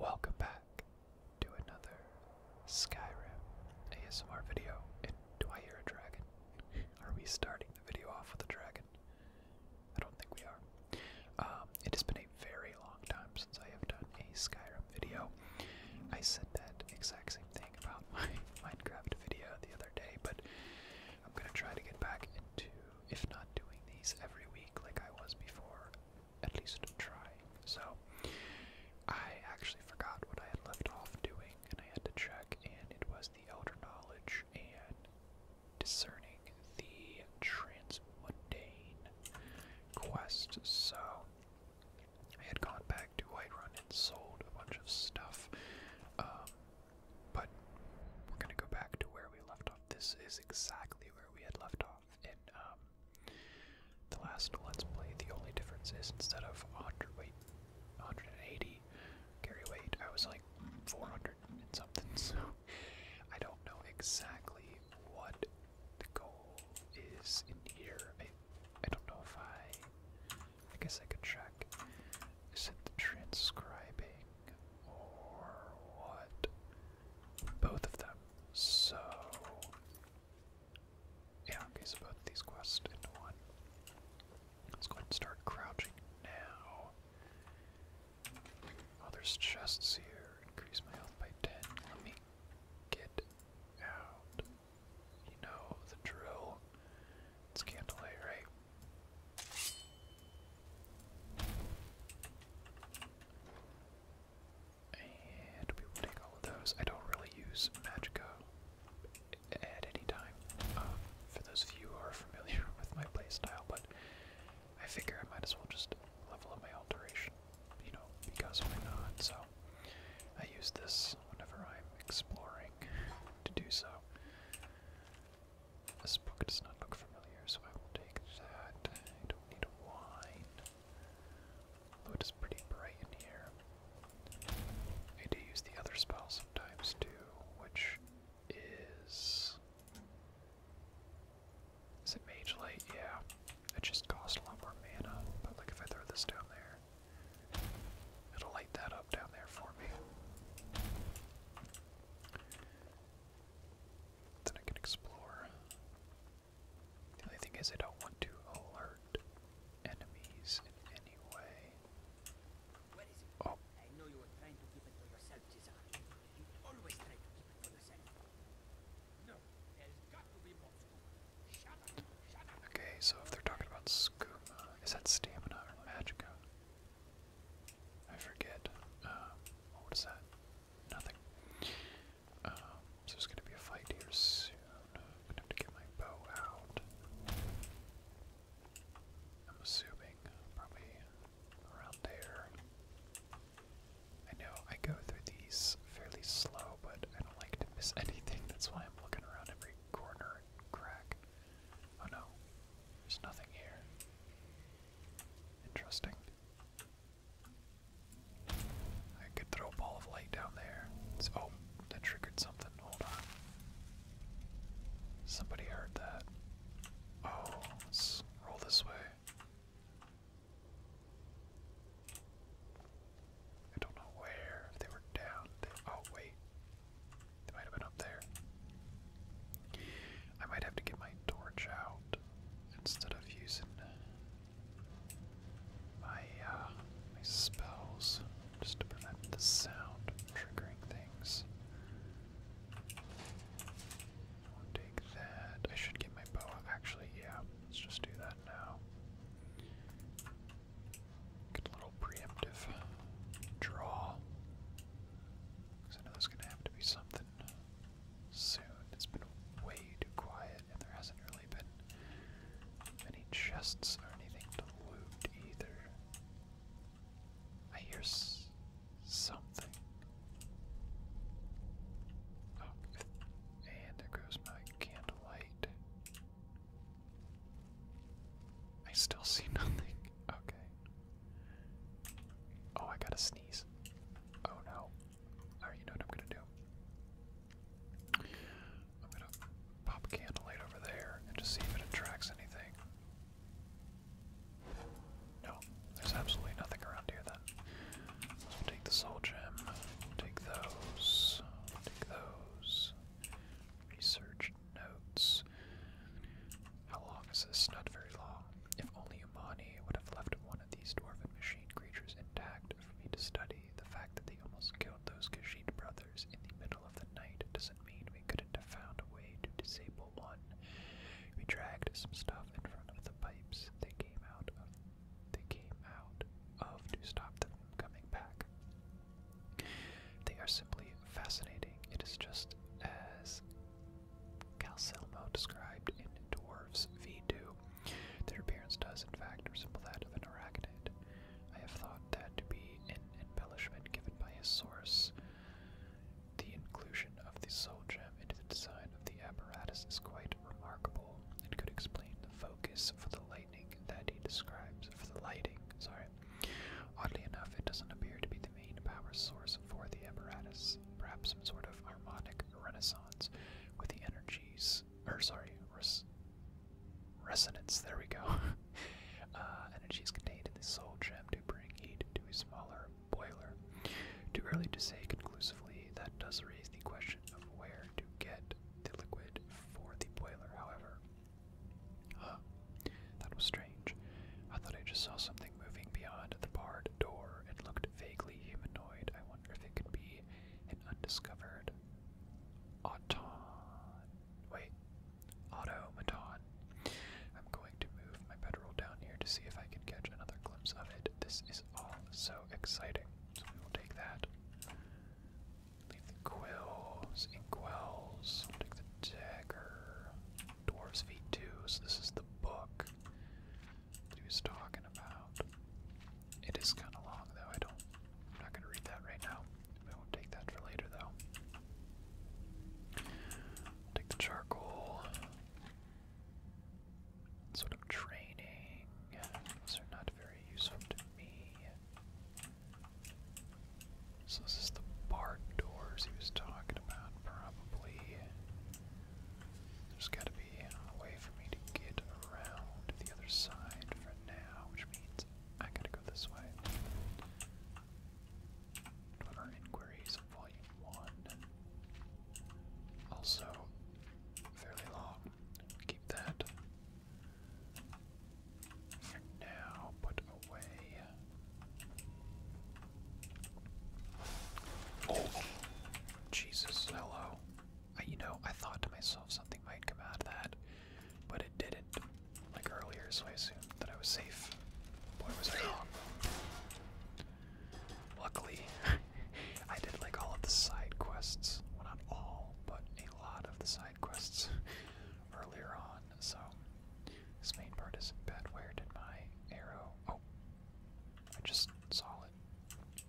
Welcome back to another Skyrim ASMR video. do I hear a dragon? Are we starting the video off with a dragon? I don't think we are. Um, it has been a very long time since I have done a Skyrim video. I said that exact same thing about my Minecraft video the other day, but I'm gonna try to get back into, if not doing these every week like I was before, at least try. So I actually forgot what I had left off doing, and I had to check, and it was the elder knowledge and discerning the transmundane quest. So I had gone back to White Run and sold a bunch of stuff, um, but we're gonna go back to where we left off. This is exactly where we had left off. In um, the last Let's Play, the only difference is instead of 100 weight, 180 carry weight, I was like 400 and something. So I don't know exactly what the goal is in here. I, I don't know if I. I guess I could check. Is it the transcribing or what? Both of them. So. Yeah, okay, so both these quests into one. Let's go and start crouching now. Oh, there's chests here. Increase my health by 10. Let me get out. You know the drill. It's candlelight, right? And we will take all of those. I don't really use Magico at any time, um, for those of you who are familiar with my playstyle, but I figure I might as well just level up my alteration, you know, because why not? So I use this whenever I'm exploring to do so. This book does not look familiar, so I will take that. I don't need a wine it is pretty bright in here. I do use the other spell sometimes too, which is. Is it Mage Light? Yeah. It just costs a lot more mana, but like if I throw this down there, it'll light that up down there for me. Then I can explore. The only thing is I don't want to alert enemies in any way. Oh. Okay, so if they're talking about skooma, is that stamina or magicka? I forget. Um, what is that? Nothing. Um, there's gonna be a fight here soon. I'm gonna have to get my bow out. I'm assuming probably around there. I know I go through these fairly slow, but I don't like to miss anything. That's why I'm looking around every corner and crack. Oh no, there's nothing here. Interesting. I could throw a ball of light down there. oh, that triggered something. Hold on. Somebody heard that. Oh, let's roll this way. I don't know where. they were down. oh, wait. They might have been up there. I might have to get my torch out instead of using uh, my spells just to prevent the sound triggering things. take that. I should get my bow. Actually, yeah. Let's just do that now. Good little preemptive draw. Because I know there's going to have to be something soon. It's been way too quiet, and there hasn't really been many chests or anything to loot either. I hear something. Oh, and there goes my candlelight. I still see nothing. Okay. Oh, I gotta sneeze. Oh no you know what I'm gonna do? I'm gonna pop candlelight over there and just see if it attracts anything. No, there's absolutely nothing around here then. take the soul gem, take those, take those. Research notes. How long is this? Not very long. If only Imani would have left one of these dwarven machine creatures intact, for me to study. The fact that they almost killed those Khajiit brothers in the middle of the night doesn't mean we couldn't have found a way to disable one. We dragged some stuff in front of the pipes they came out of they came out of to stop them coming back. They are simply fascinating. It is just as Calcelmo described in Dwarves V2. Their appearance does, in fact, resemble that of an arachnid. I have thought that to be an embellishment given by his source. The inclusion of the soul gem into the design of the apparatus is quite remarkable It could explain the focus for the lightning that he describes for the lighting, sorry. Oddly enough, it doesn't appear to be the main power source for the apparatus. Perhaps some sort of harmonic renaissance with the energy or sorry, resonance, there we go. Uh, energy is contained in the soul gem to bring heat to a smaller boiler. Too early to say conclusively, that does raise the question of where to get the liquid for the boiler, however. that was strange. I thought I just saw something moving beyond the barred door. It looked vaguely humanoid. I wonder if it could be an undiscovered automaton. Wait, automaton. I'm going to move my bedroll down here to see if I can catch another glimpse of it. This is all so exciting, so we will take that. Leave the quills, inkwells, take the dagger. Dwarf's Feet 2, so this is the book he was talking about. It is kind of long, though. I don't. I'm not going to read that right now. I won't take that for later, though. Take the charcoal. Sort of training. Those are not very useful to me. So this is the barn doors he was talking about, probably. There's got to be way for me to get around the other side for now, which means I gotta go this way. What inquiries volume one? Also, fairly long. Keep that now put away. Oh, Jesus, hello you know, I thought to myself something might come out of that, but it didn't. Like earlier, so I assumed that I was safe. Boy, was I wrong. Luckily, I did like all of the side quests. Well, not all, but a lot of the side quests earlier on. So, this main part isn't bad. Where did my arrow? Oh, I just saw it.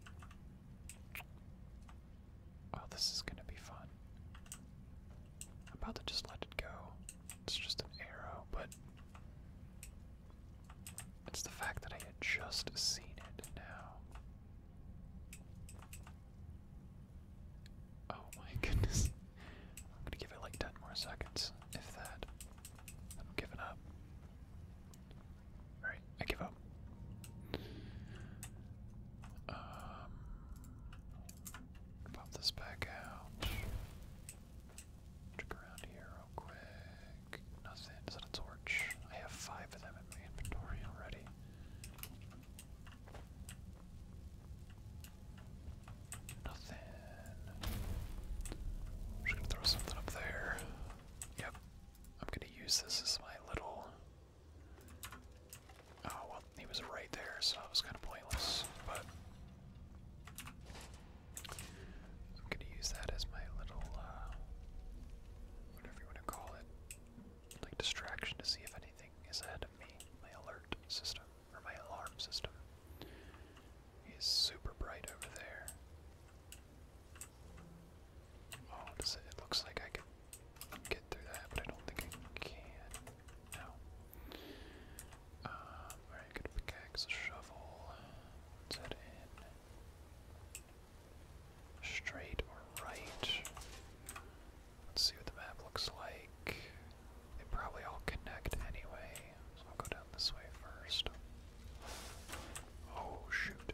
Oh, this is gonna be fun. about to just let it go. It's just an arrow, but it's the fact that I had just seen it now. Oh my goodness. I'm gonna give it like 10 more seconds, if that. I'm giving up. Alright, I give up. Um, pop this back out. Look around here real quick. Nothing. Is that a torch? I have five of them in my inventory already. Nothing. i throw something up there. Yep, I'm gonna use this as my little. Oh well, he was right there, so it was kind of pointless. But I'm gonna use that as my little, uh, whatever you want to call it, like distraction to see if anything is ahead of me. My alert system or my alarm system is super bright over there. Oh, it? looks like I can get through that, but I don't think I can. No. Um, uh, alright, good pickaxe, shovel. What's in? Straight or right? Let's see what the map looks like. They probably all connect anyway, so I'll go down this way first. Oh, shoot.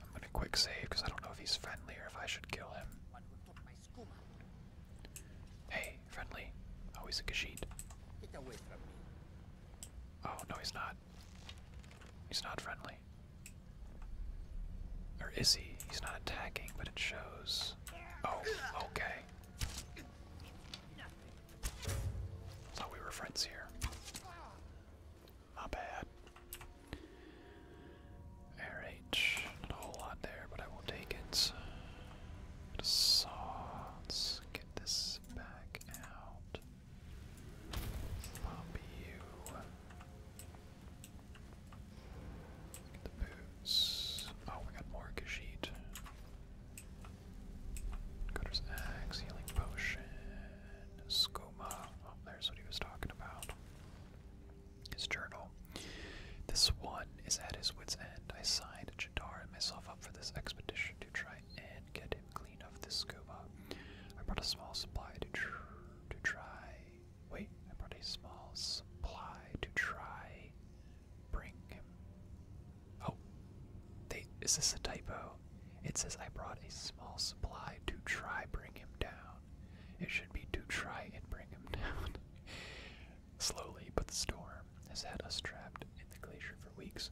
I'm gonna quick save because I don't know if he's friendly or if I should kill him. Hey, friendly. Oh, he's a Kashyyyk. Oh, no, he's not. He's not friendly. Or is he? He's not attacking, but it shows. Oh, okay. Thought we were friends here. My bad. Air H. Not a whole lot there, but I will take it. Get a get this back out. the boots. Oh, we got more Khajiit. Cutter's axe, healing potion. Skoma. Oh, there's what he was talking about. His journal. This one is at his wit's end. I signed Jadar and myself up for this expedition to try and get him clean of this Skoma. I brought a small supply to to try. Wait, I brought a small supply to try. Bring him. Oh, Is this a typo? It says I brought a small supply to try bring him down. It should be to try and bring him down. Slowly, but the storm has had us trapped in the glacier for weeks.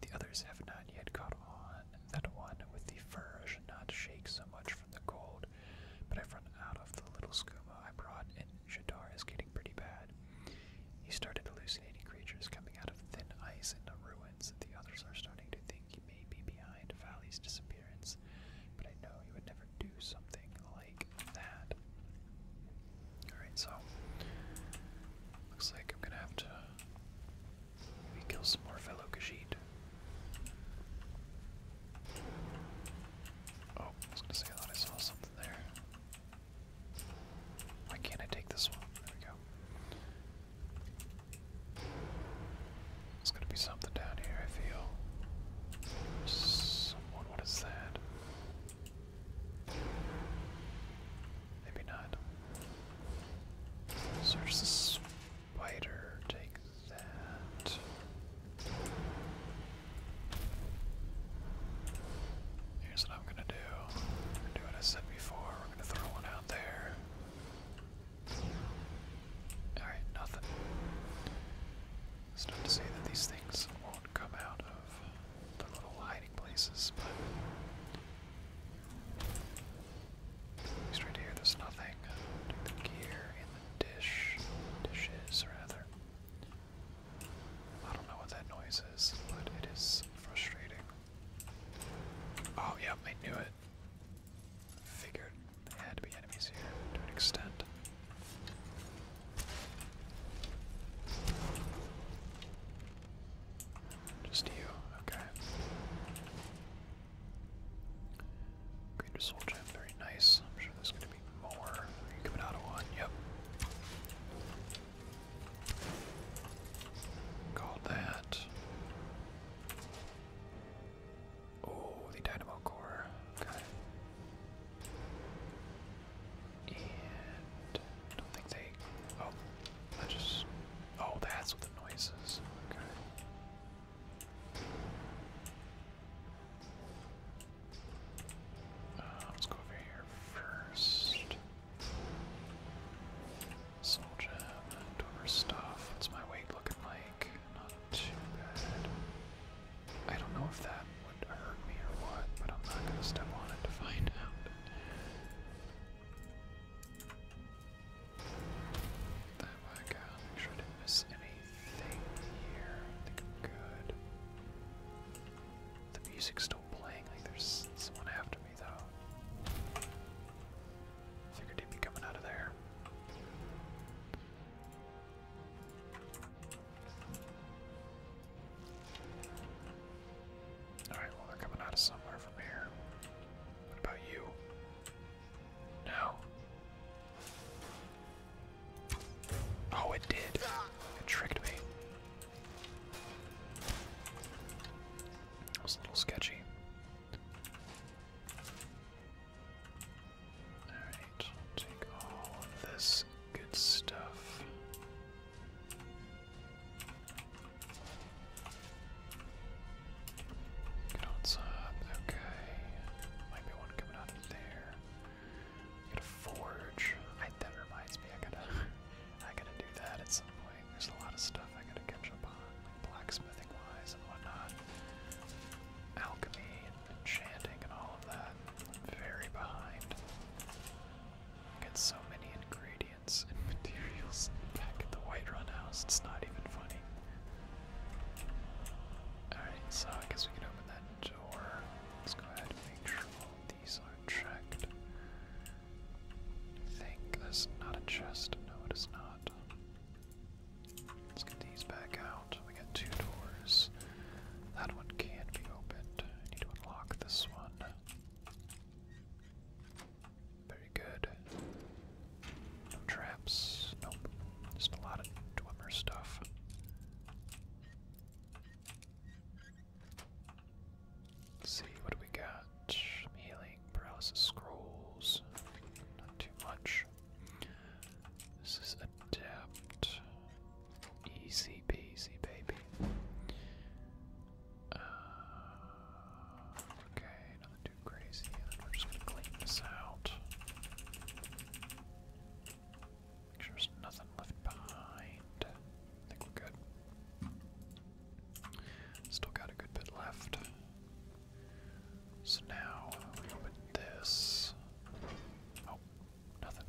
The others have not yet caught on. That one with the fur should not shake so much from the cold, but I've run out of the little skooma I brought, and Shadar is getting pretty bad. He started hallucinating creatures coming out of thin ice in the ruins. The others are starting to think he may be behind Valley's disappearance, but I know he would never do something like that. Alright, so looks like I'm gonna have to kill some more fellow Khajiit. Oh, I was gonna say I thought I saw something there. Why can't I take this one? There we go. There's gonna be something down here, I feel. Someone, what is that? Maybe not. Search the spider, take that. Here's what I'm gonna do. do what I said before. We're gonna throw one out there. Alright, nothing. It's not to say that these things won't come out of their little hiding places, but. At here, there's nothing. the gear in the dish. Dishes, rather. I don't know what that noise is, but it is frustrating. Oh, yep, I knew it. Figured there had to be enemies here to an extent. Just you, okay. Greater Soul very nice. I'm sure there's gonna be more. Are you coming out of one? Yep. Called that. Oh, the dynamo core. Got And don't think they. Oh, that just. Oh, that's what the noise is. Okay. Uh, let's go over here first. Soldier, I'm not stuff. What's my weight looking like? Not too bad. I don't know if that would hurt me or what, but I'm not gonna step on it to find out. That way I got make sure I didn't miss anything here. I think I'm good. The music's still playing, like there's someone after me though. Figured coming out of there. Alright, well, they're coming out of somewhere from here. What about you? No. Oh, it did. It tricked me. That was a little sketchy. Alright, take all of this good stuff. Good on okay. Might be one coming out of there. Gotta forge. that reminds me, I gotta, I gotta do that at some point. There's a lot of stuff I gotta catch up on blacksmithing wise and whatnot. Alchemy and enchanting and all of that. i very behind. Get so many ingredients and materials back at the White Run house, it's not even funny. Alright, so I guess we can open that door. Let's go ahead and make sure these are checked. think that's not a chest. No, it is not. Let's get these back out. We got two doors. That one can't be opened. I need to unlock this one. Very good. No traps. Nope. Just a lot of Dwemer stuff. see what we got. healing flying paralysis scrolls. Not too much. This is adept. Easy peasy, baby. Uh, okay, nothing too crazy. we're just gonna clean this out. Make sure there's nothing left behind. think we're good. Still got a good bit left. So now we open this. Oh, nothing.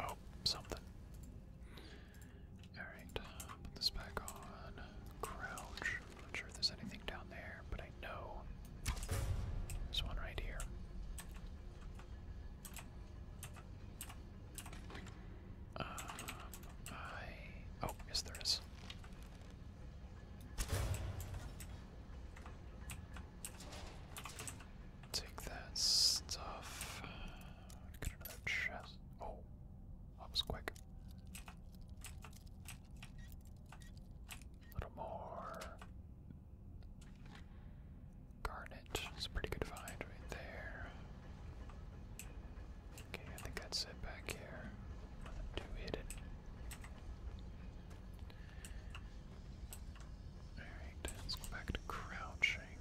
Oh, something. Alright, put this back on. Crouch. not sure if there's anything down there, but I know there's one right here. Uh, oh, yes there is. Take that stuff. Uh, get another chest. Oh, that was quick. A little more. Garnet. It's a pretty good find right there. Okay, I think that's it back here. Nothing too hidden. Alright, let's go back to crouching.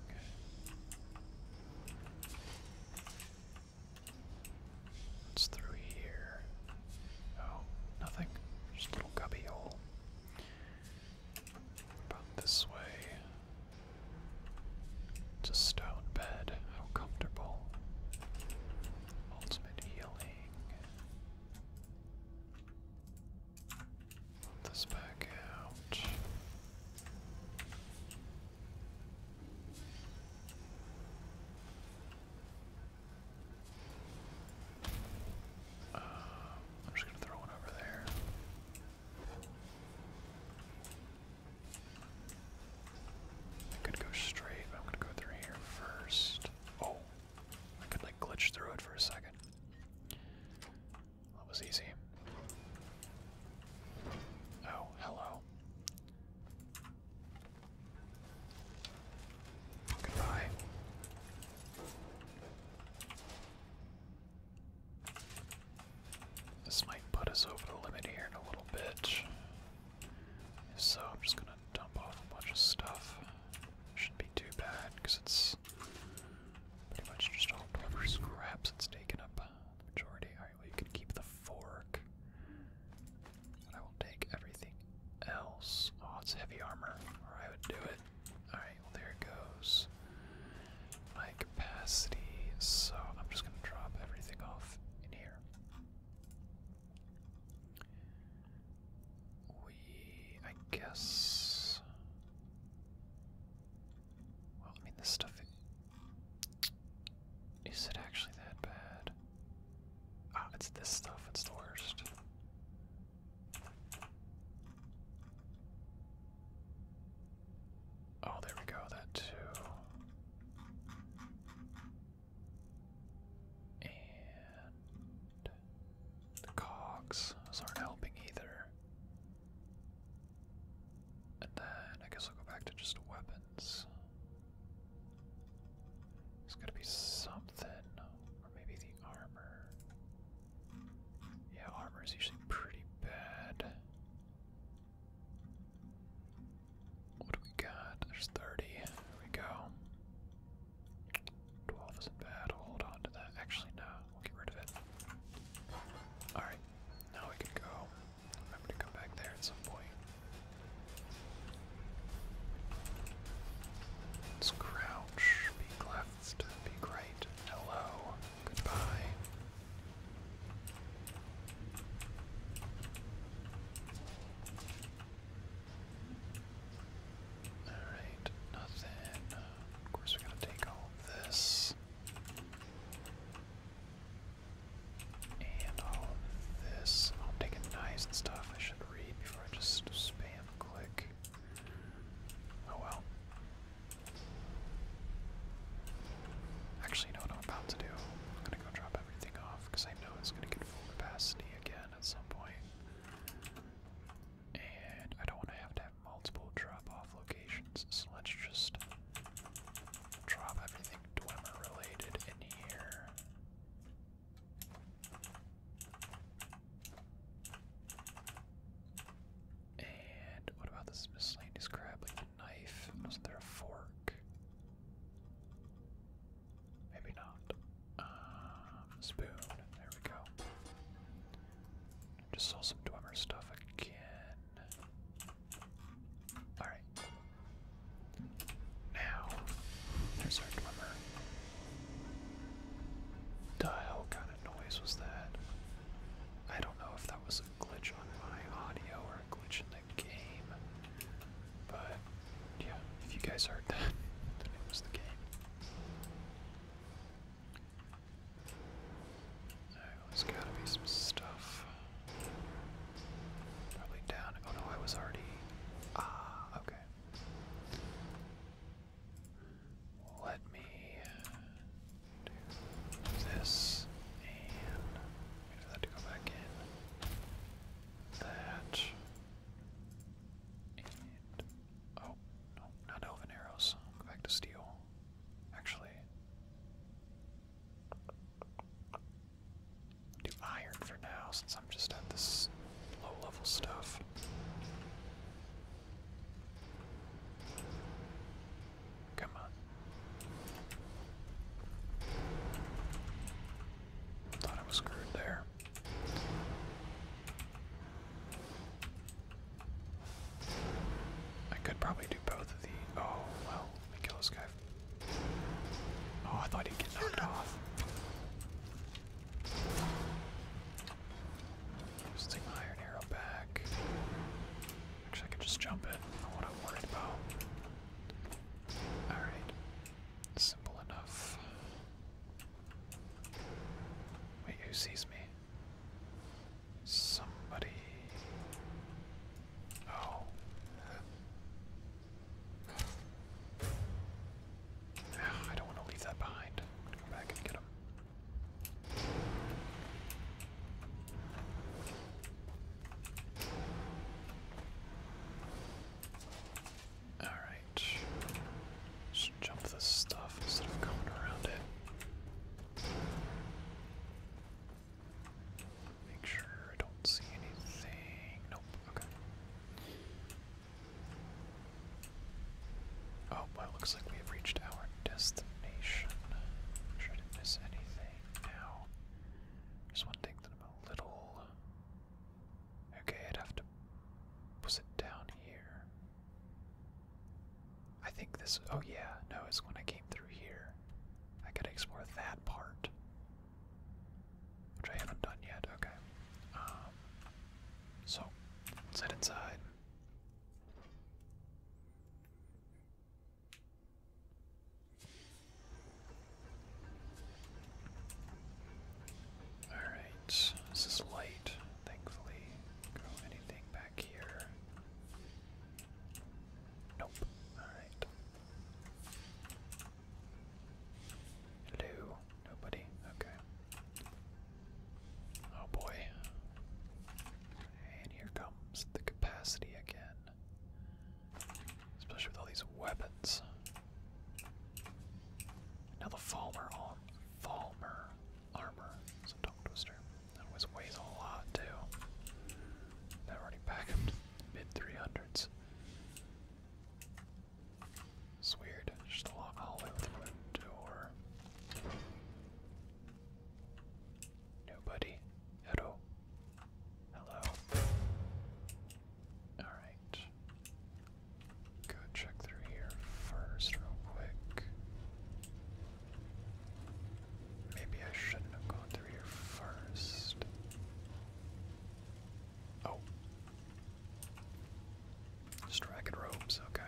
What's through here? Oh, nothing. Just little cubby hole. About this way. It's a stone bed. How comfortable. Ultimate healing. Put this back out. Um, I'm just gonna throw one over there. I could go straight, but I'm gonna go through here first. Oh, I could like glitch through it for a second. That was easy. Oh, hello. Goodbye. This might put us over the limit here in a little bit. So I'm just gonna dump off a bunch of stuff. Shouldn't be too bad because it's pretty much just all whatever scraps. It's taken up the majority. All right, well you can keep the fork, I will take everything else. Oh, it's heavy armor, or I would do it. All right, well there it goes my capacity, so I'm just going to drop everything off in here. We, I guess. Well, I mean, this stuff. Is it actually that bad? Ah, it's this stuff, it's the worst. Oh, there we go, that too. And the cogs. aren't helping either. And then I guess I'll go back to just weapons. There's gotta be something. Or maybe the armor. Yeah, armor is usually pretty bad. What do we got? There's 30. There we go. 12 isn't bad. hold on to that. Actually, no. We'll get rid of it. Alright. Now we can go. Remember to come back there at some point. Let's crouch. Peek left. Peek right. Hello. Goodbye. Alright, nothing. of course, we're going to take all this. And all this. I'll take a and stuff I should read before I just spam click. Oh well. Actually, know what I'm about to do? I'm gonna go drop everything off because I know it's gonna get full capacity again at some point. And I don't want to have to have multiple drop-off locations, so let's just drop everything Dwemer-related in here. And what about this miscellaneous crab? knife? Was there a fork? Maybe not. Um, spoon. There we go. Just saw some Dwemer stuff again. Alright. Now, there's our Dwemer. The hell kind of noise was that? I don't know if that was glitch on my audio or a glitch in the game. But yeah, if you guys heard that, then it was the game. there's gotta be some stuff. Probably down. Oh no, I was already. Ah, okay. Let me this, and that to go back in. That. And. Oh, no, not elven arrows. Go back to steel. Actually. Do iron for now, since I'm just at this low level stuff. Come on. Thought I was screwed there. I could probably do both of the. Oh, well, kill this guy. Oh, I thought he'd get knocked off. let my iron arrow back. Actually, I could just jump it. what I'm worried about. Alright. Simple enough. Wait, who sees me? Somebody. Oh. I don't want to leave that behind. I'm gonna go back and get him. All right. Just jump this stuff instead of going around it. Make sure I don't see anything. Nope. Okay. Oh, well, looks like we have reached our destination. Should I miss anything now? Just want to take them a little. Okay, I'd have to. Was it down here? I think this. Oh, yeah, no, it's when I came through here. I gotta explore that part. Which I haven't done yet. Okay. Um, so, let's head inside. Alright, this is light, thankfully. anything back here. Nope. Alright. Hello. Nobody? Okay. Oh boy. And here comes the capacity again. Especially with all these weapons. Now the Falmer on Falmer armor is a tongue twister. That always weighs a lot too. That already back mid 300s. It's weird. Just a long hallway with a door. Nobody at all. Hello. Alright. Go check through here first, real quick. Maybe I shouldn't have gone through here first. Oh. Just ragged okay.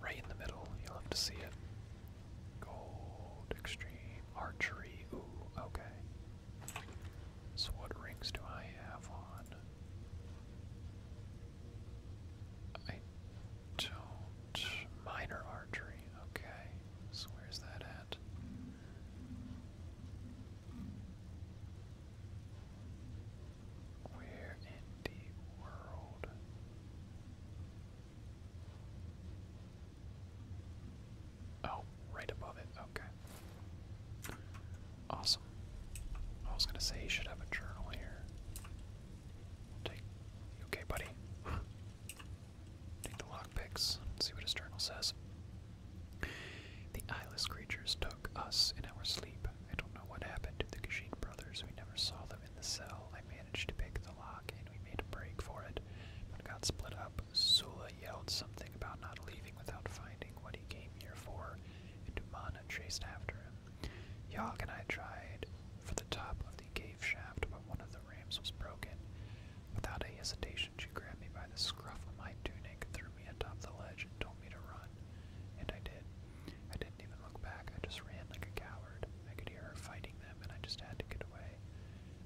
Right in the middle, you'll have to see it. Gold, extreme, archery. Ooh, okay. So, what rings do I have on? I don't. Minor archery, okay. So, where's that at? Where in the world? Oh, right above it. Okay. Awesome. I was gonna say you should have a journal here. Take. okay, buddy? Take the lockpicks. See what his journal says. The eyeless creatures took us in our sleep. I don't know what happened to the Kashin brothers. We never saw them in the cell. I may managed to pick the lock, and we made a break for it, but got split up. Sula yelled something about not leaving without finding what he came here for, and Dumana chased after him. Yogg and I tried for the top of the cave shaft, but one of the rams was broken. Without hesitation, she grabbed me by the scruff of my tunic, threw me atop the ledge, and told me to run. And I did. I didn't even look back, I just ran like a coward. I could hear her fighting them, and I just had to get away.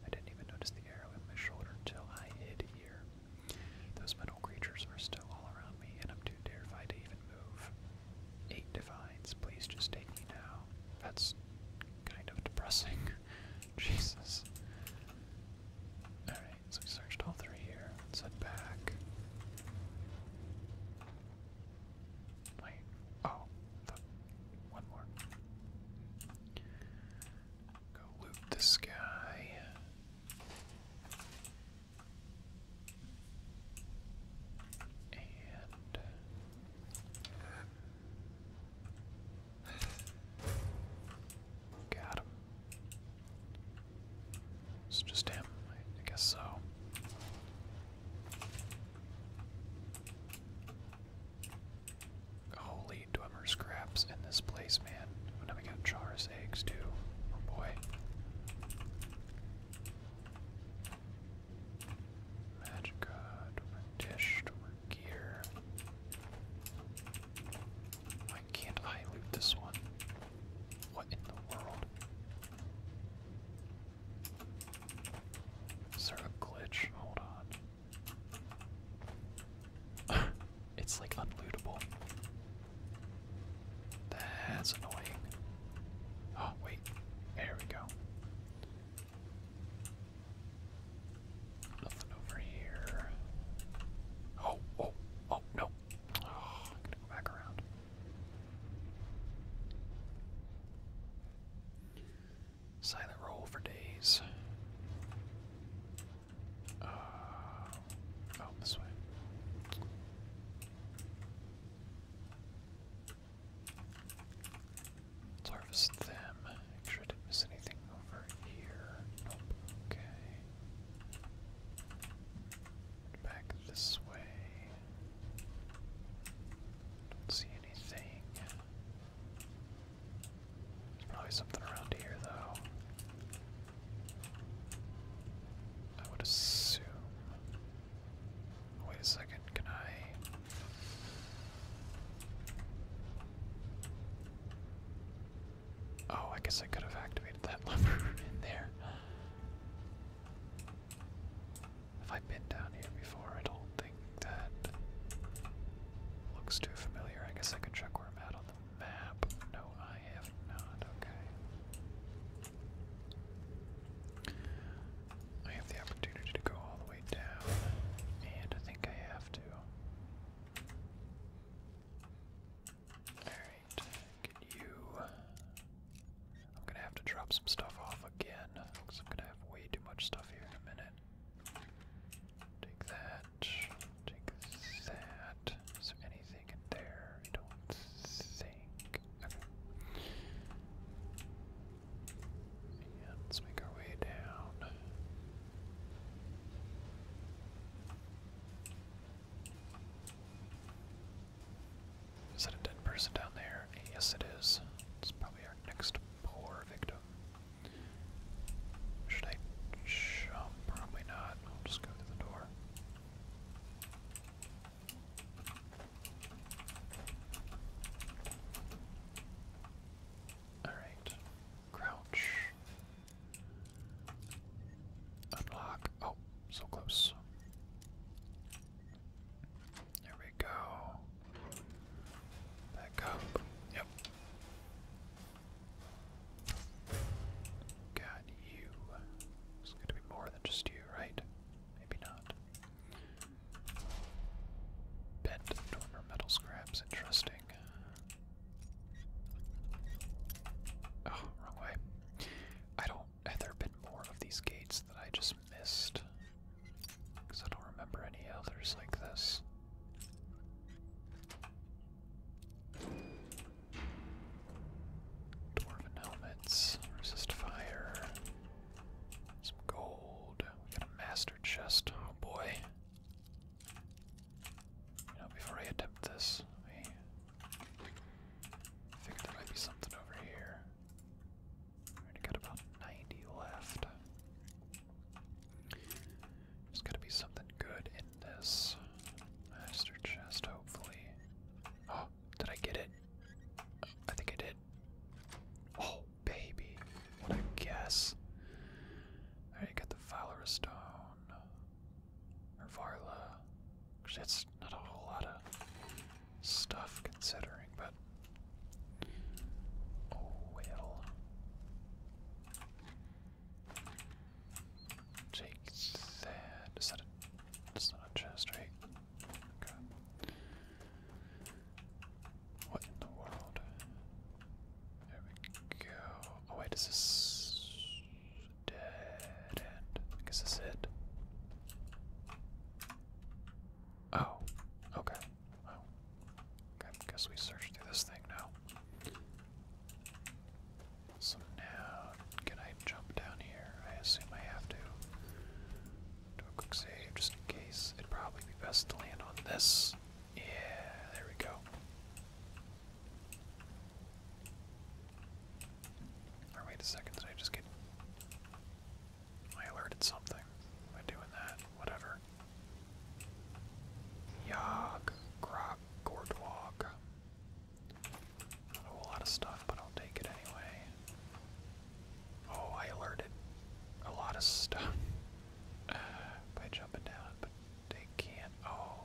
I didn't even notice the arrow in my shoulder until I hid here. Those metal creatures are still all around me, and I'm too terrified to even move. Eight divines, please just take me now. That's kind of depressing. Jesus. Alright, so we searched all three here. Let's head back. Wait. Oh, more. Go loot this guy. And got him. It's just him, I guess so. Holy Dwemer scraps in this place, man. Oh, now we got Char's eggs, too. Oh boy. Magic Dwemer dish, gear. Why can't I this one? What in the world? Is there a glitch? Hold on. it's like unlootable. That's annoying. Oh, wait. There we go. Nothing over here. Oh, oh, oh, no. Oh, I'm gonna go back around. Silent roll for days. Uh, oh, this way. Let's harvest them. Make sure I didn't miss anything over here. Okay. Back this way. Don't see anything. Oh, there's Probably something around here, though. I would assume. Wait a second, can I? Oh, I guess I could have activated that lever in there. Have I been down here before? I don't think that looks too familiar. I guess I can check where I'm at on the map. No, I have not. Okay. I have the opportunity to go all the way down, and I think I have to. Alright, can you. I'm gonna have to drop some stuff off again I'm gonna have way too much stuff here in a minute that. Take that. Take that. Is there anything in there? I don't think. Okay. And let's make our way down. Is that a dead person down there? Yes, it is. It's probably our next poor victim. Should I jump? Probably not. I'll just go to the door. Alright. Crouch. Unlock. Oh, so close. There we go. Back up. Yep. Got you. It's going to be more than just you, right? Maybe not. Bent dormer metal scraps. Interesting. Oh, wrong way. I don't. Have there been more of these gates that I just missed? Because I don't remember any others like this. Dwarven helmets, resist fire, some gold. We got a master chest. Oh boy. You know, before I attempt this, I figured there might be something over here. I got about 90 left. There's gotta be something good in this master chest, hopefully. Oh, did I get it? I think I did. Oh, baby. What a guess. Alright, got the Valera Stone. Or Varla. that's not a whole lot of stuff considering, but Oh well. Take that that's not a chest, right? Okay. What in the world? There we go. Oh wait, is dead end? I guess this is it. Oh, okay. Oh. Okay, guess we search through this thing now. So now, can I jump down here? I assume I have to. Do a quick save just in case. It'd probably be best to land on this. Yeah, there we go. wait a second, did I just get. I alerted something by doing that. Whatever. Yog, grog, gordwog. Not a whole lot of stuff, but I'll take it anyway. Oh, I alerted a lot of stuff by jumping down, but they can't. Oh.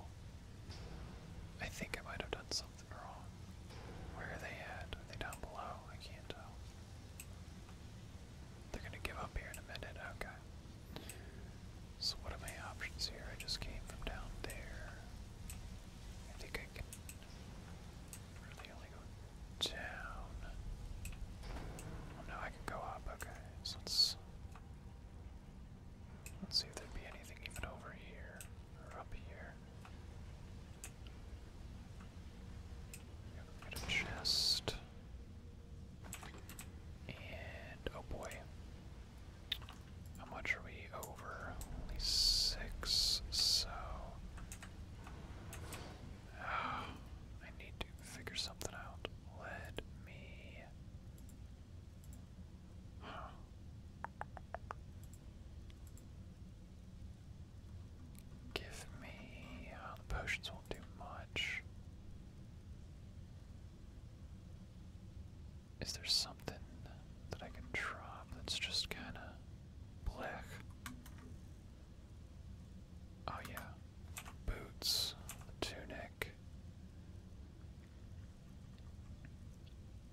I think I might have done something wrong. Where are they at? Are they down below? I can't tell. They're gonna give up here in a minute, okay. So what are my options here? I just came from down there. I think I can really only go down. Oh, no, I can go up, okay. So let's let's see if there'd be anything even over here or up here. chest. And oh boy. How much are we over? Only six, so I need to figure something out. Let me Give me uh, the potions do much. Is there something that I can drop that's just kind of black? Oh, yeah. Boots, tunic.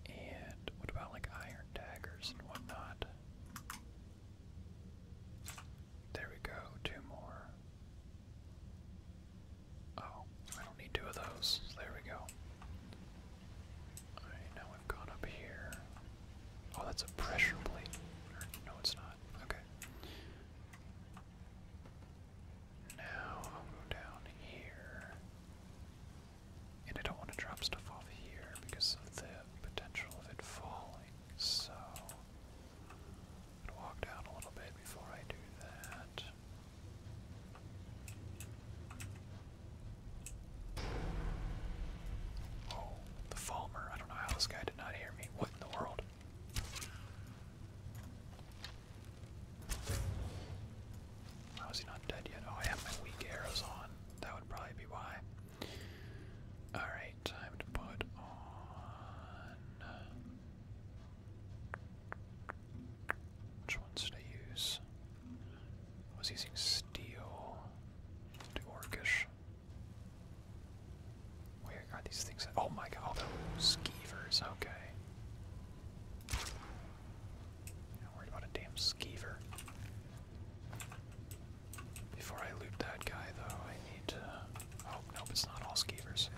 And what about like iron daggers and whatnot? There we go, two more. Oh, I don't need two of those. There we go. Alright, now we've gone up here. Oh, that's a pressure plate. no, it's not. Okay. Now I'll go down here. And I don't want to drop stuff off here because of the potential of it falling, so i walk down a little bit before I do that. Oh, the Falmer. I don't know how this guy did not hear me. What in the world? How is he not dead yet? Oh, I have my weak arrows on. That would probably be why. Alright, time to put on. Which ones did I use? was using steel to orcish. Where are these things? Oh my god, oh, those the skeevers, okay. Not worried about a damn skeever. Before I loot that guy, though, I need to. Oh, nope, it's not all skeevers.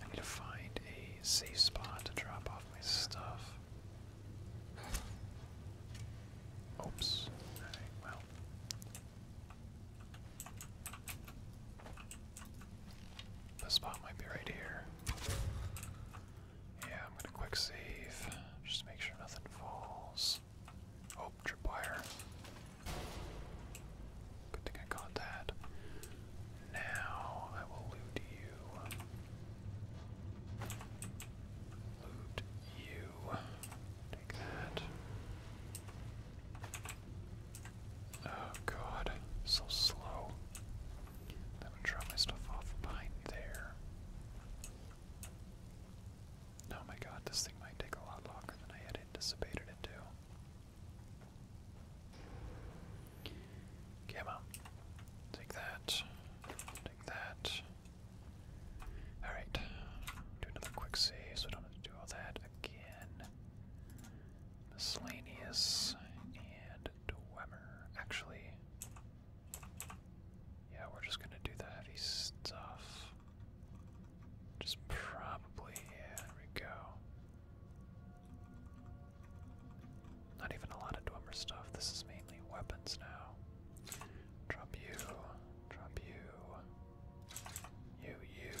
I need to find a safe spot to drop off my stuff. Oops. well. The spot might be right here. Yeah, I'm gonna quick save. Just make sure nothing falls. Oh, tripwire. Good thing I got that. Now I will loot you. Loot you. Take that. Oh god, so slow. Then I'm gonna draw my stuff off behind there. Oh my god, this thing might take a lot longer than I had anticipated it to. Come Take that. Take that. Alright. Do another quick save so we don't have to do all that again. Miscellaneous and Dwemer. Actually, yeah, we're just gonna do the heavy stuff. Just probably, yeah, we go. Not even a lot of Dwemer stuff. This is mainly weapons now. Drop you, drop you, you, you,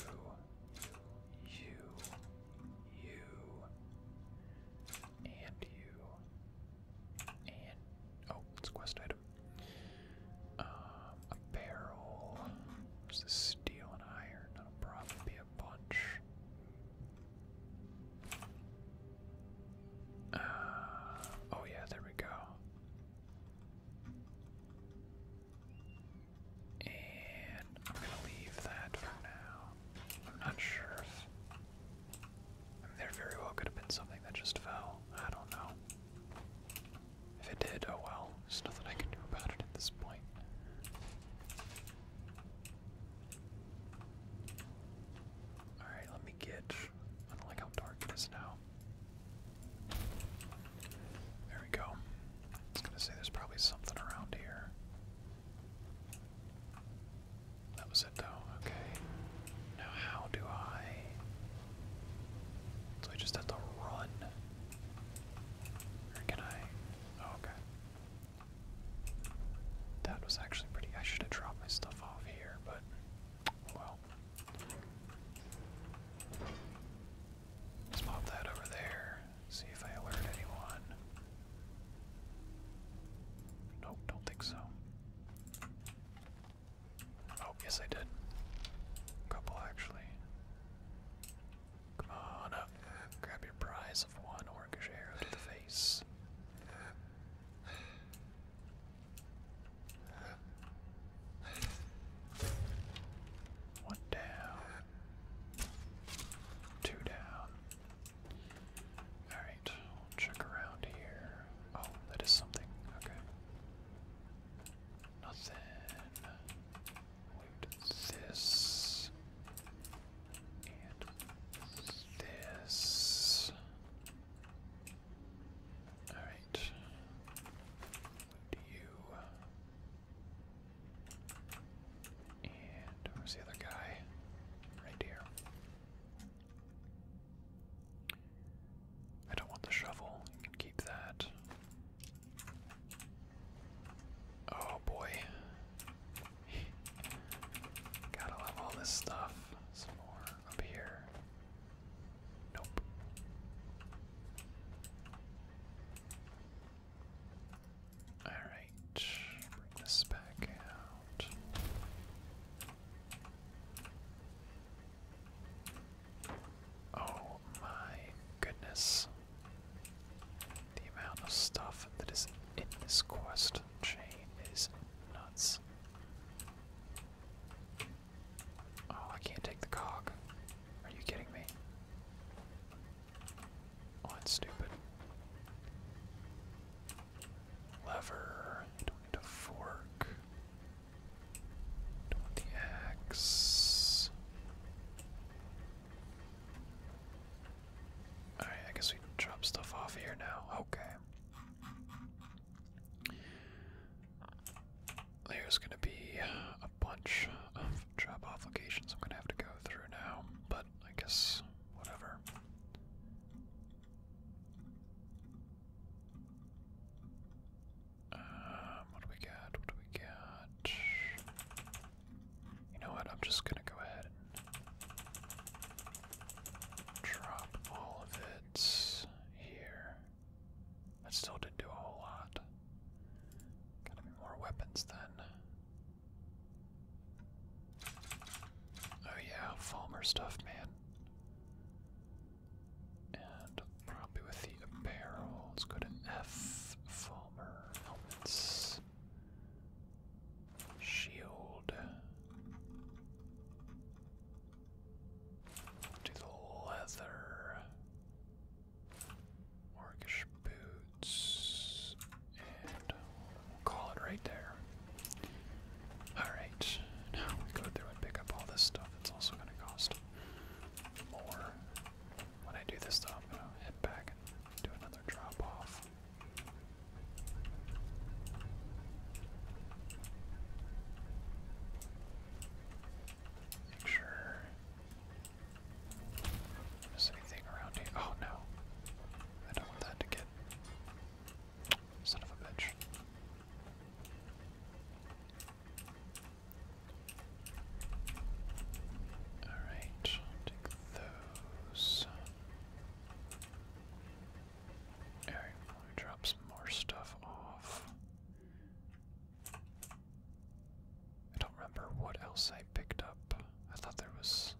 you, you, and you, and oh, it's a quest item. Um, a barrel. steel and iron? probably a bunch. Uh, oh yeah, there we go. And I'm gonna leave that for now. I'm not sure if. I there very well could have been something that just fell. I don't know. If it did, oh well. There's nothing I can do about it at this point. Alright, let me get. I don't like how dark it is now. There we go. I was gonna say there's probably something around here. That was it though, okay. Now how do I so I just have to run? Or can I oh, okay. That was actually pretty I should have dropped my stuff off here, but well. let pop that over there. See if I alert anyone. Nope, don't think so. Oh, yes, I did. A couple, actually. Come on up. Grab your prize of one orcish arrow face. One down. Two down. Alright, check around here. Oh, that is something. Okay. Nothing. Loot this. And this. Alright. Loot you. And where's the other guy? Right here. I don't want the shovel. You can keep that. Oh boy. Gotta love all this stuff. Some more up here. Nope. Alright bring this back out. Oh my goodness. The amount of stuff that is in this quest chain is nuts. Oh, I can't take the cog. Are you kidding me? Oh, it's stupid. Lever. do fork. do Alright, I guess we drop stuff off here now. Okay. There's gonna be a bunch of job off I'm gonna have to go through now, but I guess whatever. Um, what do we got? What do we got? You know what? I'm just gonna go ahead and drop all of it here. That still didn't do a whole lot. Gotta be more weapons then. Oh yeah, Falmer stuff, man. And probably with the apparel, let's go to F. Falmer helmets. Shield. Do the leather. Orcish boots. And call it right there. Alright, now we go through and pick up all this stuff. It's also going to cost more. When I do this, stuff, I'm going to head back and do another drop off. Make sure. Is anything around here? Oh no. I don't want that to get Son of a bitch. Alright, take those. Alright, let me drop some more stuff off. I don't remember what else I picked up. I thought there was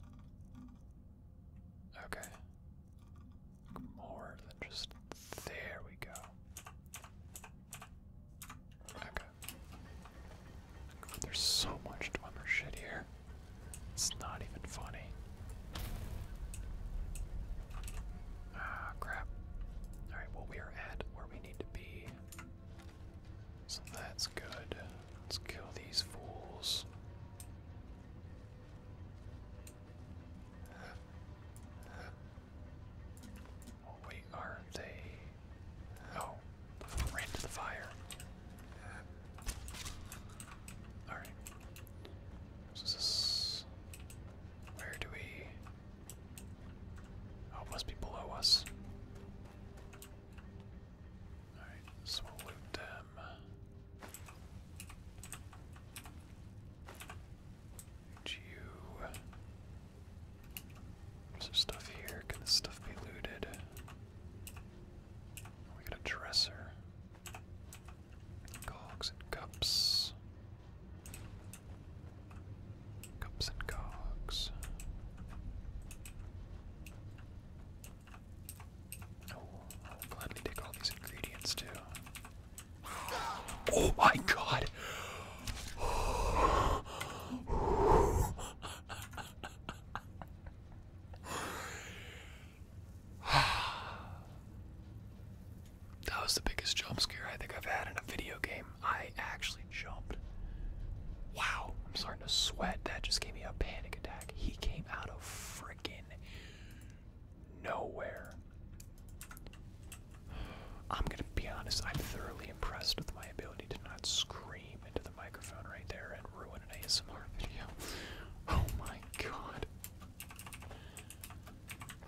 Okay. More than just there we go. Okay. there's so much Dwemer shit here. It's not even funny. Ah, crap. Alright, well, we are at where we need to be. So that's good. Let's kill these fools. Oh are they? Oh, ran to the fire. All right. where do we? Oh, it must be below us. All right, so them. And you. stuff here? Can this stuff be looted? We got a dresser. Cogs and cups. Cups and cogs. Oh, I'll gladly take all these ingredients too. Oh my god! that was the biggest jump scare I think I've had in a video game. I actually jumped. Wow, I'm starting to sweat. That just gave me a panic attack. He came out of freaking nowhere. I'm gonna be honest, I'm thoroughly impressed with my ability to not scream into the microphone right there and ruin an ASMR video. Oh my god.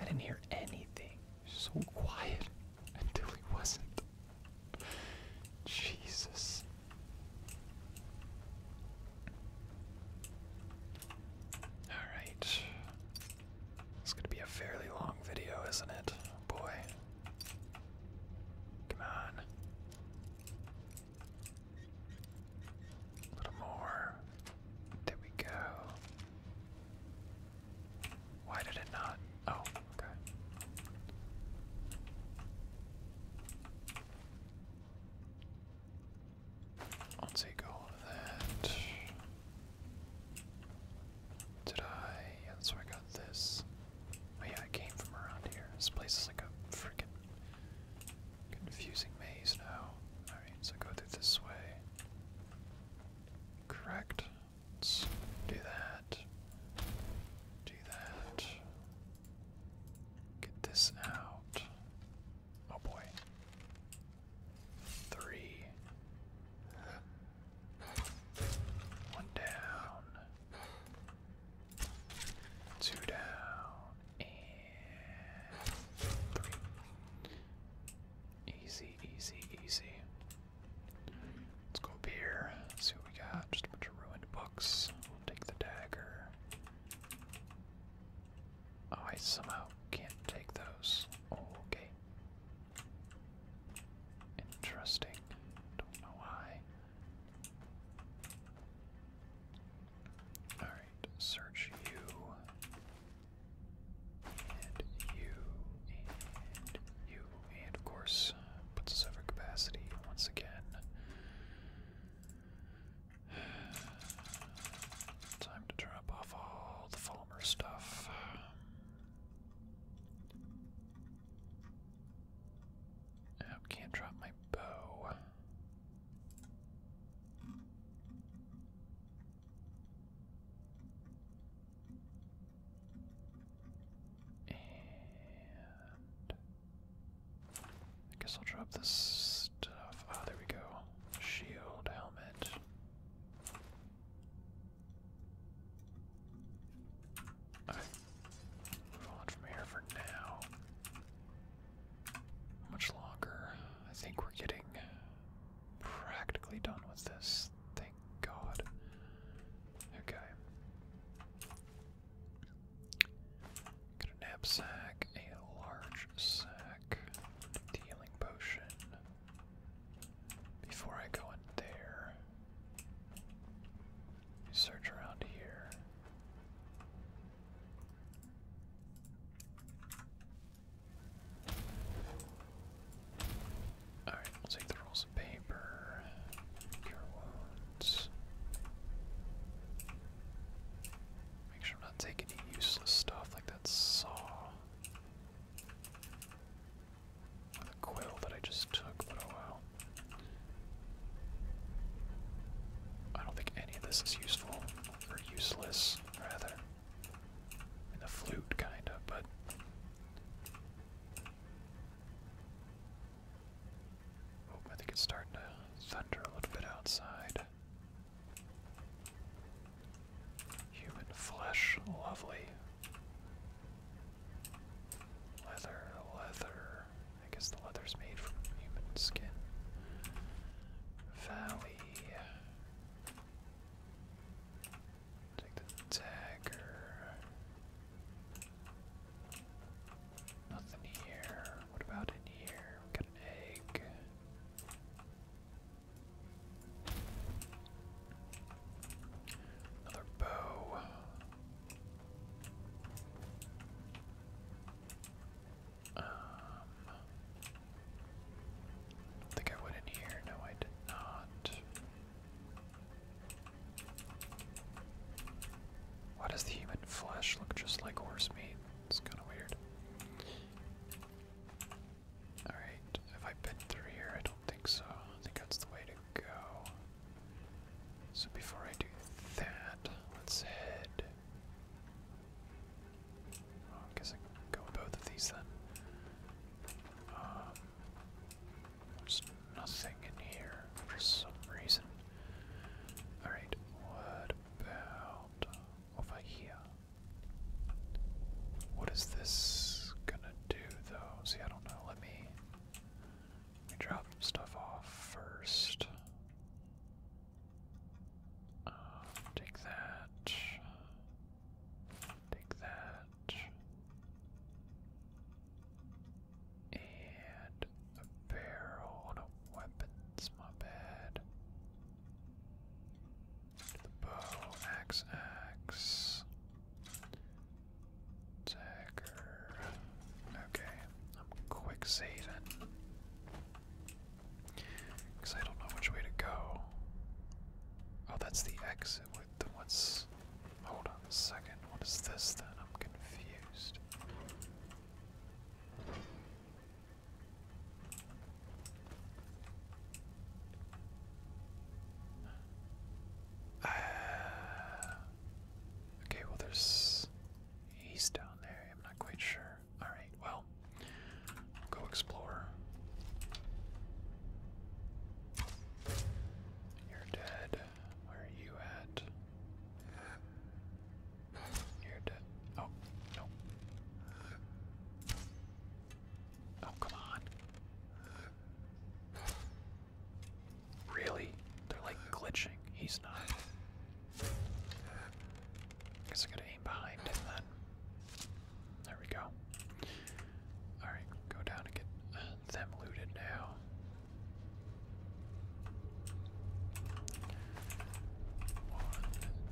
I didn't hear anything. So quiet until he wasn't. Jesus. Alright. It's gonna be a fairly long video, isn't it? boy. Come on. A little more. There we go. Why did it not? Oh, okay. I'll take that. Did I? Yeah, I got this. Oh yeah, I came from around here. This place is like a freaking confusing maze now. Alright, so go through this way. Correct. Let's do that. Do that. Get this out. Oh boy. Three. One down. Two down. And three. Easy, easy, easy. Let's go up here. see what we got. Just a bunch of ruined books. We'll take the dagger. Oh, I somehow can't take those. Oh, okay. Interesting. Don't know why. Alright, search you. And you. And you. And of course, uh, puts us over capacity once again. Time to drop off all the farmer stuff. I can't drop my bow. And I guess I'll drop this stuff. Oh, there we go. Shield, helmet. Alright. Move on from here for now. How much longer? I think we're getting practically done with this. Thank God. Okay. Got a knapsack, a large sack, healing potion. Before I go in there, search around here. Alright, we'll take the rolls of paper, cure wounds. Make sure I'm not taking any useless stuff like that saw. Or the quill that I just took, oh I don't think any of this is useful, or useless, rather. I the flute, kinda, but. Oh, I think it's starting to thunder a little bit outside. Human flesh, lovely. Leather, leather. I guess the leather's made from human skin. Valley. Take the dagger. Nothing here. What about in here? got an egg. Another bow. Um, think I went in here. No, I did not. Why does the human flesh look just like horse meat? It's kind of weird. Alright, have I been through here? I don't think so. I think that's the way to go. So before I do that, let's head. I guess I go both of these then. Um, there's nothing in here for some reason. Alright, what about over here. What is this gonna do though? See, I don't know. Let me, drop stuff off first. Um, take that. Take that. And barrel on a my bad. the bow, axe, axe. Dagger. Okay, I'm quick saving. Because I don't know which way to go. Oh, that's the exit what's. Hold on a second. What is this then? I'm confused. okay, well, there's. He's down there. I'm not quite sure. Alright, well, go explore. You're dead. Where are you at? You're dead. Oh, no. Oh, come on. Really? They're like glitching. He's not. Guess I gotta aim behind him then. There we go. Alright, go down and get uh, them looted now. One,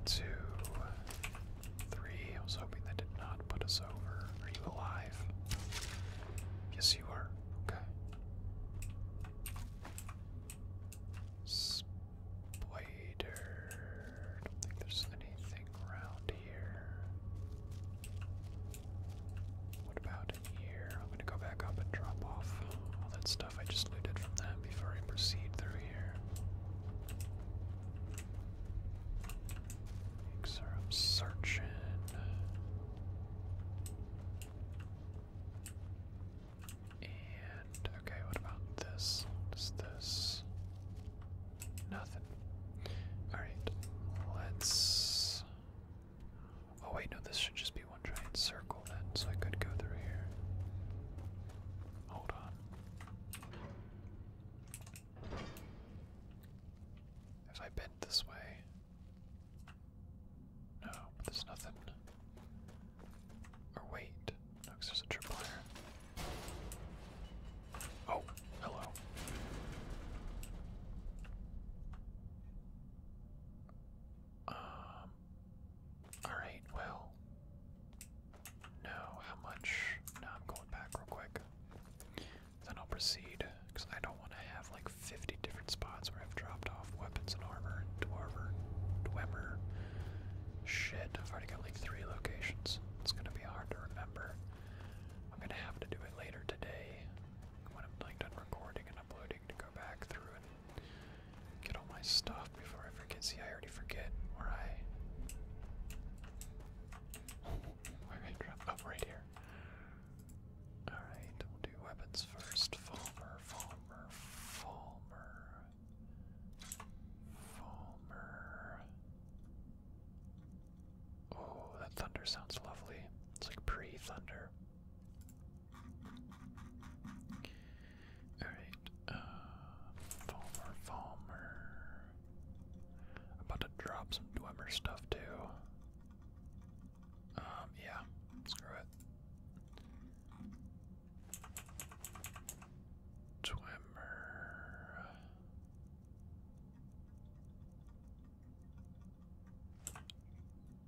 two, three. I was hoping that did not put us over. Are you alive? Yes, you are. Okay. Spider. don't think there's anything around here. What about here? I'm gonna go back up and drop off all that I just looted from that before I proceed through here. Things And okay, what about this? What is this? Nothing. Alright, let's. Oh, wait, no, this should just be one giant circle circled so I could go through here. Hold on. If I bent this way. No, there's nothing. Or wait. No, because there's a trip Oh, hello. Um, Alright, well. No, how much? No, I'm going back real quick. Then I'll proceed, because I don't want to have like 50 different spots where I've dropped off weapons and armor and dwarver, dwemer. Shit, I've already got like three locations. It's going to be hard to remember. I'm going to have to do it later today when I'm done recording and uploading to go back through and Get all my stuff before I forget. See, I already forget where I. where I up right here. Alright, we'll do weapons first. Falmer, Falmer, Falmer. Falmer. Oh, that thunder sounds lovely. It's like pre thunder. Alright, uh, Falmer, about to drop some Dwemer stuff too. Um, yeah, screw it. Dwemer.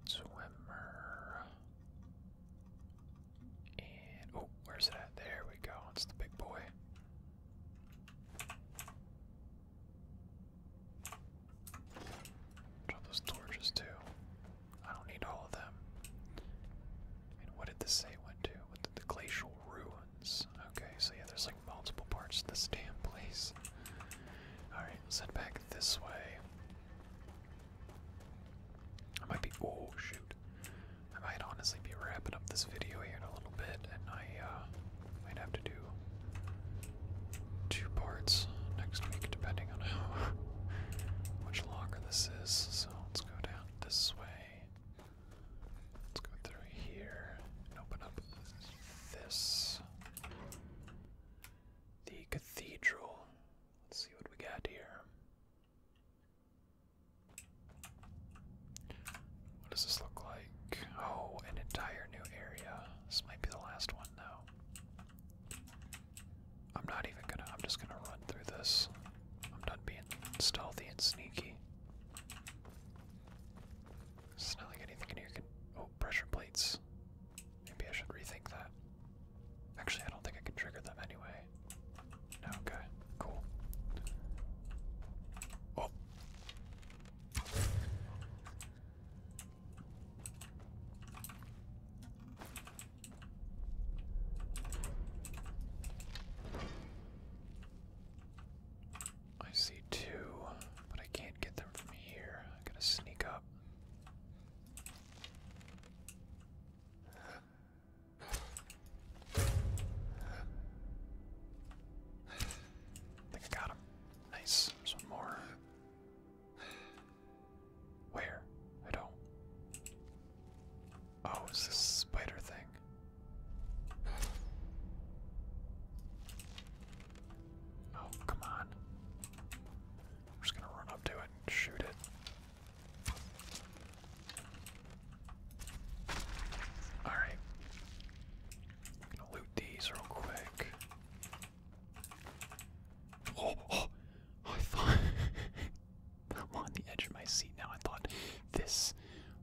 Swimmer. And oh, where's it at? There we go. It's the big boy. Drop those torches too. I don't need all of them. And what did this say went to? What did the glacial ruins? Okay, so yeah, there's like multiple parts to this damn place. Alright, let back this way. I might be. Oh shoot! I might honestly be wrapping up this video here in a little bit, and I uh, might have to do two parts next week, depending on how much longer this is. So let's go down this way. Let's go through here and open up this. The cathedral. Let's see what we got here. What does this look like? Oh, an entire new area. This might be the last one, though. I'm not even gonna, I'm just gonna run through this. I'm done being stealthy and sneaky. not like anything in here can. Oh, pressure plates. Maybe I should rethink that. Actually, I don't think I can trigger them anyway okay, cool. Oh. I see two, but I can't get them from here. I am going to sneak up think I got him. Nice. There's one more. Where? I don't. Oh, it's this spider thing. Oh, come on. I'm just gonna run up to it and shoot it. Alright. gonna loot these real quick. oh, oh I thought I'm on the edge of my seat now. I thought this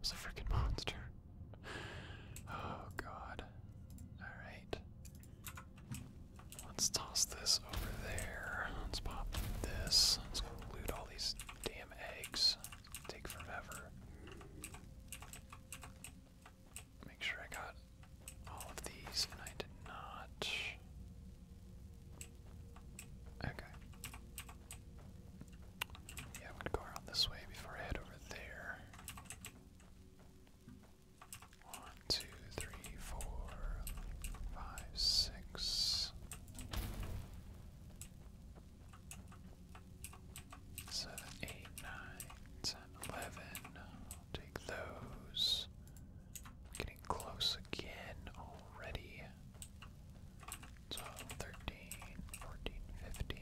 was a freaking monster. Oh god. Alright. Let's toss this over there. Let's pop this. Let's go loot all these damn eggs. Take forever. Make sure I got all of these, and I did not. Okay. Yeah, I'm to go around this way before I head over there. One, two, three, four, five, six. Seven, eight, nine, ten, eleven. I'll take those. Getting close again already. So 13, 14, 15,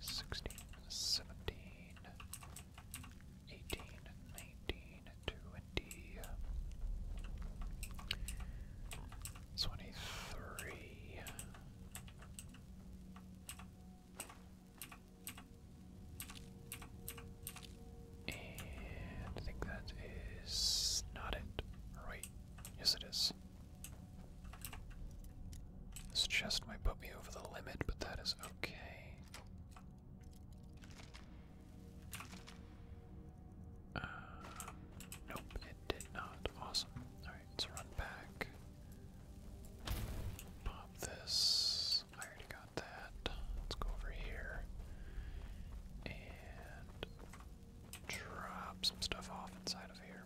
16, 17, 18, 19, twenty twenty three. And I think that is not it. Right. Yes, it is. This chest might put me over the limit, but that is okay. Uh, nope, it did not. Awesome. Alright, let's run back. Pop this. I already got that. Let's go over here and drop some stuff off inside of here.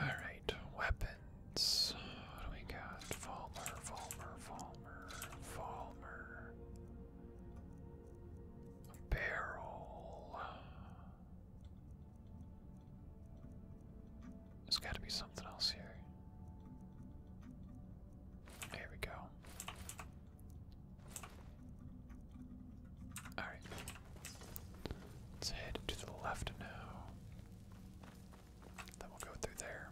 Alright, weapons what do we got? Falmer, Falmer, Falmer, Falmer. barrel. There's got to be something else here. There we go. Alright. Let's head to the left now. That will go through there.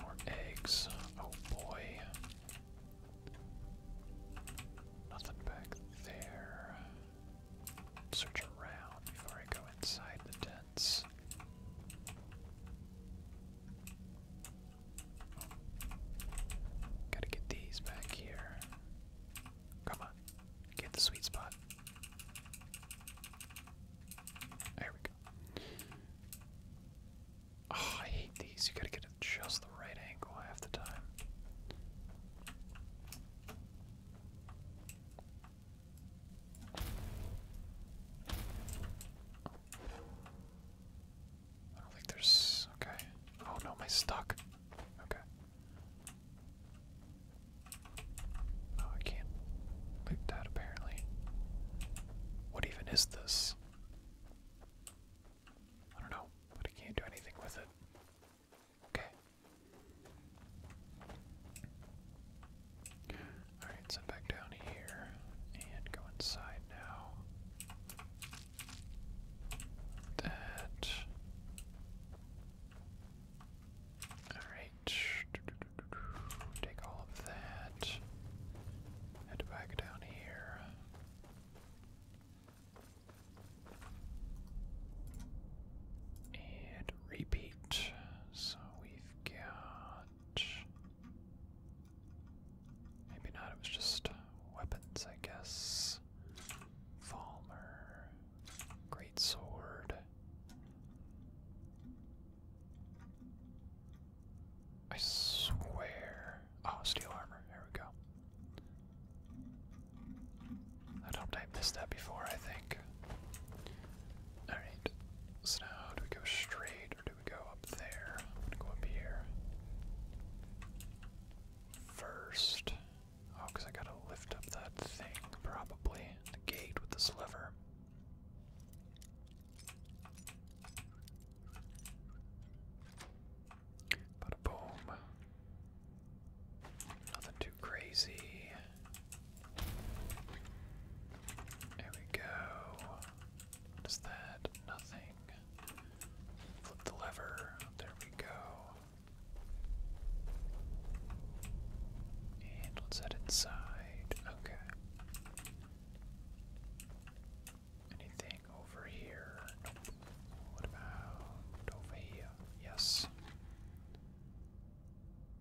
More eggs. Oh boy. Nothing back there. Search around before I go inside the tents. Gotta get these back here. Come on. Get the sweet spot. There we go. Oh, I hate these. You gotta get it just the right angle half the time. I don't think there's. Okay. Oh no, my stuck. Okay. Oh, I can't loot that apparently. What even is this? I don't know, but I can't do anything with it. Okay. Alright, so back down here and go inside now that. Alright. Take all of that. Head back down here. And repeat. So we've got. Maybe not, it was just weapons, I guess this. Great sword. I swear. Oh, steel armor. There we go. I don't I missed that before, I think. Alright. So now do we go straight or do we go up there? go up here. First. Oh, I gotta lift up that thing, probably. The gate with this lever. Bada boom. Nothing too crazy. There we go. What is that? Nothing. Flip the lever. There we go. And let's head inside. Okay. Anything over here? What about over here? Yes.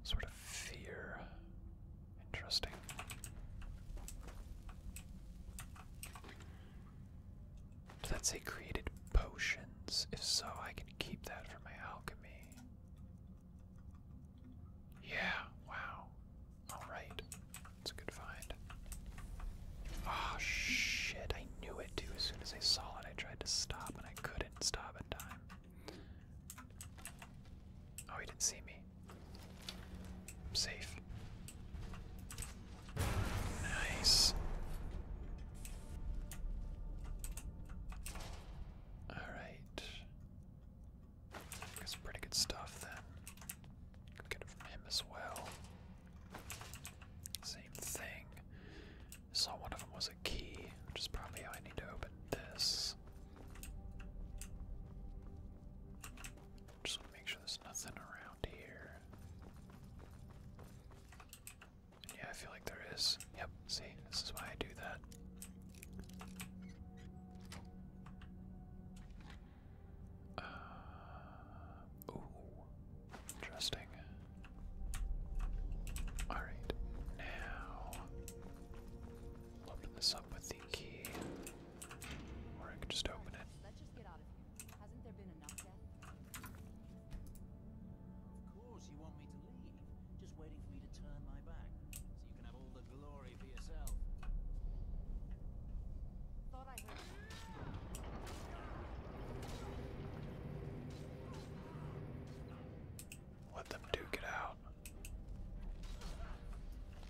Sort of fear. Interesting. Does that say created potions? If so, I can keep that for my alchemy. Yeah, wow. Alright. That's a good find. Ah, oh, shit. I knew it too. As soon as I saw it, I tried to stop and I couldn't stop in time. Oh, he didn't see me. I'm safe. Nice. All right. Got some pretty good stuff then. Could it from him as well. Same thing. Saw one of them was a key, which is probably how I need to open this. Just want to make sure there's nothing around here. Yeah, I feel like there is. Yep, see, this is why I do that. Uh, ooh, interesting. Alright, now open this up with the key. Or I could just open it. Hasn't there been enough death? Of course you want me to leave. Just waiting for me to turn my back. So you can have all the glory for yourself. Thought I heard... Let them duke it out.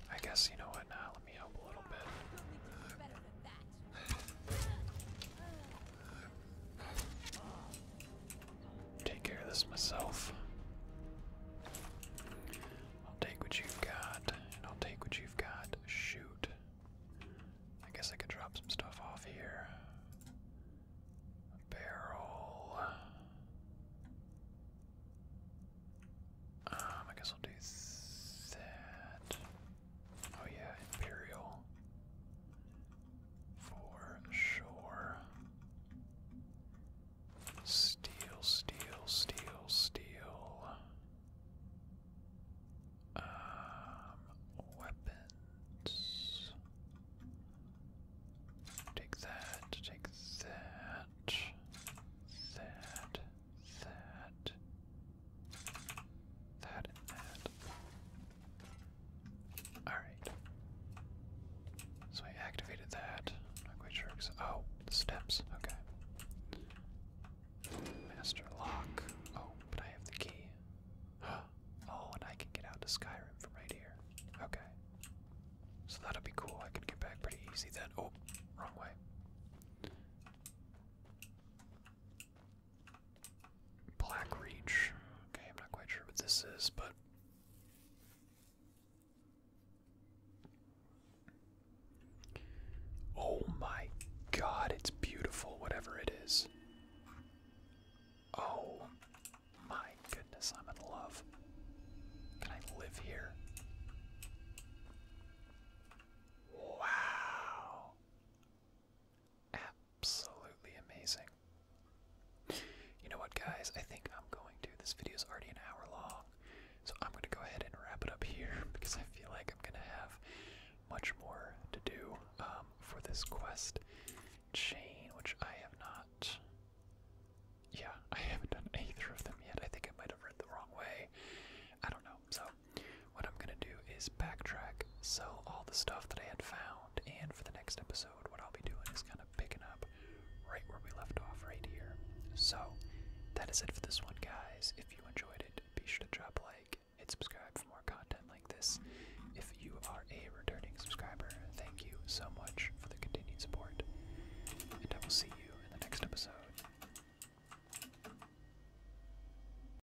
I guess you know what now. Let me help a little bit. Take care of this myself. I'll take what you've got, and I'll take what you've got. Shoot. I guess I could drop some stuff off here. barrel. Um, I guess I'll do that. Oh, yeah, Imperial. For sure. Steel, steel, steel, steel. Um, weapons. Take that, take that, that, that, that and that. Alright. So I activated that. not quite sure. Oh, steps. Okay. Master lock. Oh, but I have the key. Oh, and I can get out to Skyrim from right here. Okay. So that'll be cool. I can get back pretty easy then. Oh, wrong way. Black Reach. Okay, I'm not quite sure what this is, but. Oh my god, it's beautiful, whatever it is. Oh my goodness, I'm in love. Can I live here? Wow. Absolutely amazing. You know what, guys? I think I'm going to. This video is already an hour long, so I'm going to go ahead and wrap it up here because I feel like I'm going to have much more to do um, for this quest chain, which I have not. Yeah, I haven't done either of them yet. I think I might have read the wrong way. I don't know. So what I'm gonna do is backtrack, sell all the stuff that I had found, and for the next episode, what I'll be doing is kind of picking up right where we left off right here. So, that is it for this one, guys. If you enjoyed it, be sure to drop a like and subscribe for more content like this. If you are a returning subscriber, thank you so much for the continued support, and I will see you in the next episode.